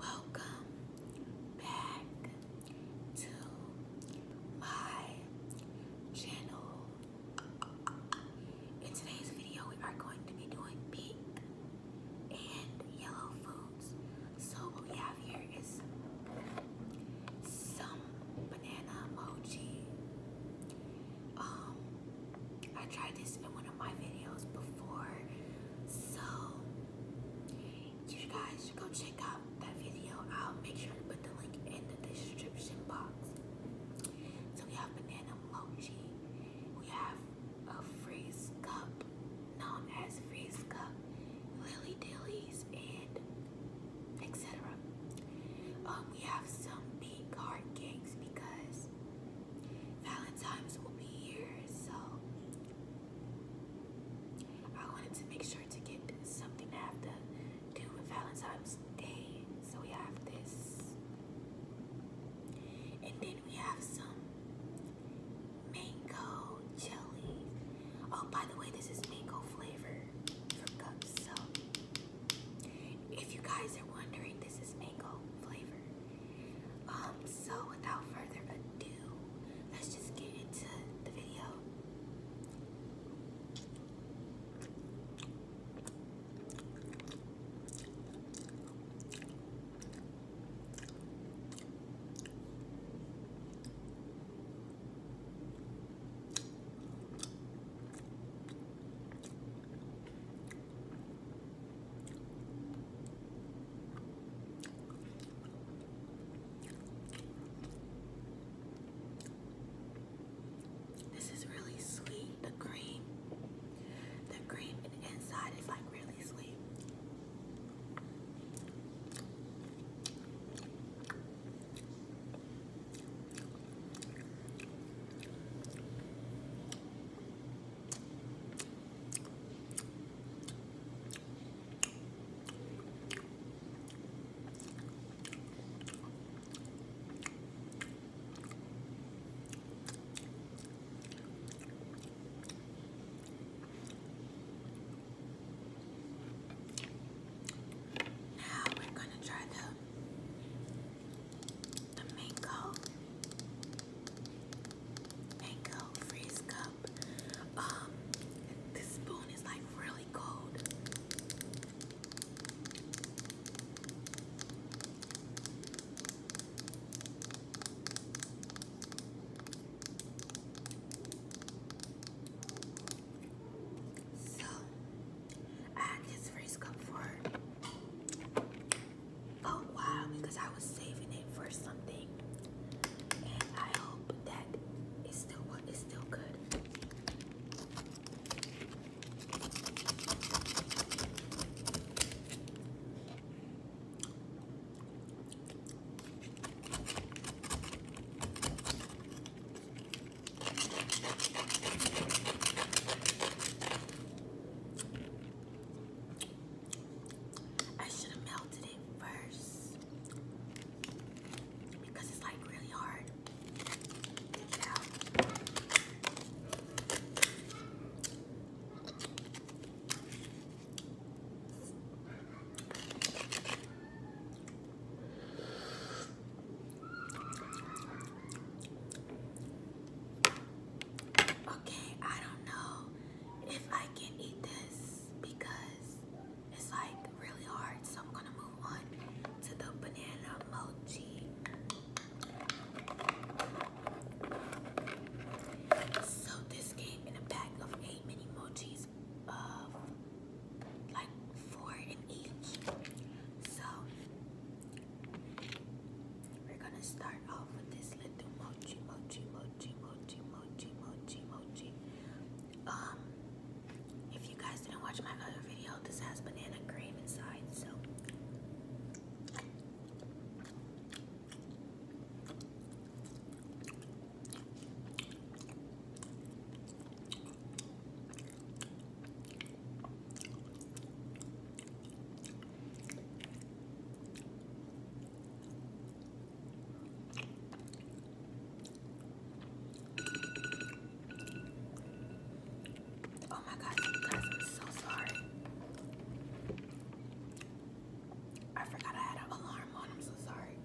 Welcome back to my channel. In today's video, we are going to be doing pink and yellow foods. So what we have here is some banana mochi, um, I tried this in one of my videos before, so you guys should go check out that video. I'll make sure to put the link in the description box. So we have banana mochi, we have a freeze cup known as freeze cup, lily dillies, and etc. Um, we have some big hard cakes because Valentine's will be here, so I wanted to make sure to get something to have to do with Valentine's Day. So we have this. And then we have some mango jelly. Oh, by the way, this is mango flavor from Cups. So if you guys are wondering, this is mango flavor. Um, so without further ado, let's just get into the video. This is really sweet. The cream, the cream and inside is like really sweet. Now we're going to try the the mango. Mango freeze cup. Um, this spoon is like really cold. So I had freeze cup for Oh wow! because I was saving it for something, and I hope that it's still it's still good. I should have melted it first because it's like really hard Okay, I don't know if I can eat this because it's like really hard, so I'm gonna move on to the banana mochi. So this came in a pack of eight mini mochis of uh, like four in each. So we're gonna start off with this little mochi, mochi, mochi, mochi, mochi, mochi, mochi. Um, if you guys didn't watch my other video, this has banana cream inside, so. Oh my God! I'm so sorry. I forgot I had an alarm on, I'm so sorry.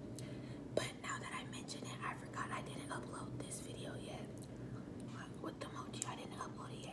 But now that I mention it, I forgot I didn't upload this video yet. What the mochi. I didn't upload it yet.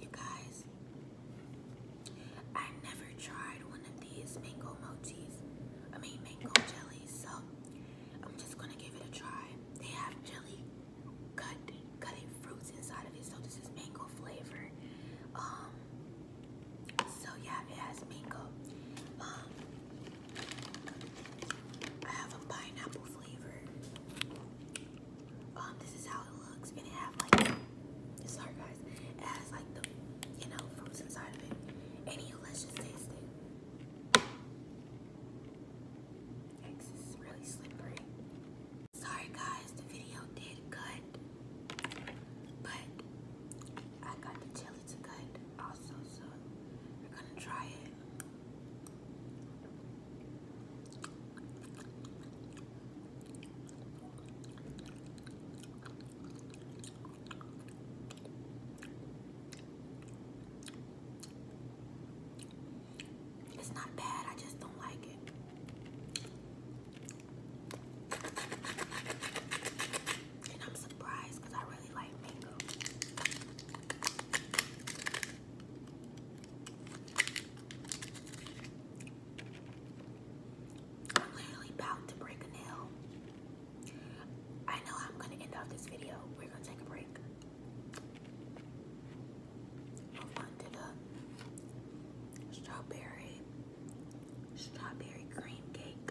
You guys, I never tried one of these mango mochis. I mean mango jellies, so I'm just gonna give it a try. They have jelly cut cutting fruits inside of it, so this is mango flavor. Um so yeah, it has mango. Um, I have a pineapple flavor. Um, this is how it looks, it has like, sorry guys, it has like the, you know, fruits inside of it. Anyway, let's just taste it. This is really slippery. Sorry guys, the video did cut, but I got the chili really too good also, so we're gonna try it. It's not bad, I just don't like it and I'm surprised because I really like mango. I'm literally bound to break a nail. I know I'm going to end off this video. We're going to take a break. Move on to the strawberry strawberry cream cake.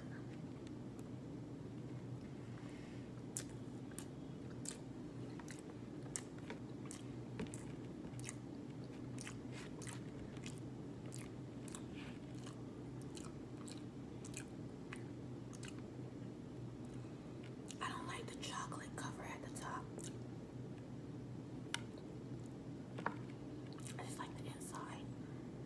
I don't like the chocolate cover at the top. I just like the inside.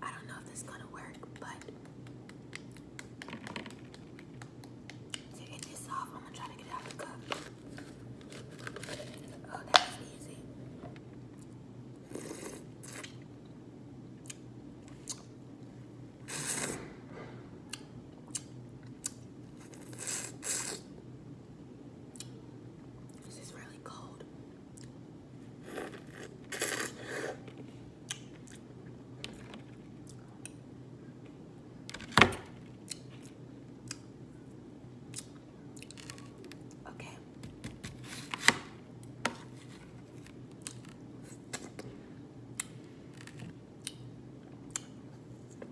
I don't know if this is gonna work, but to get this off, I'm gonna try to get out of the cup. Oh, that easy. This is really cold. Okay.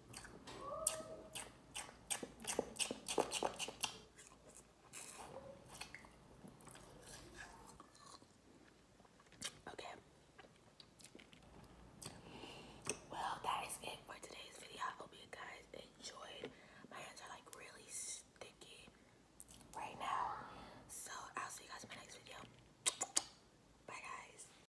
Okay. Well, that is it for today's video. I hope you guys enjoyed. My hands are like really sticky right now. So I'll see you guys in my next video. Bye guys.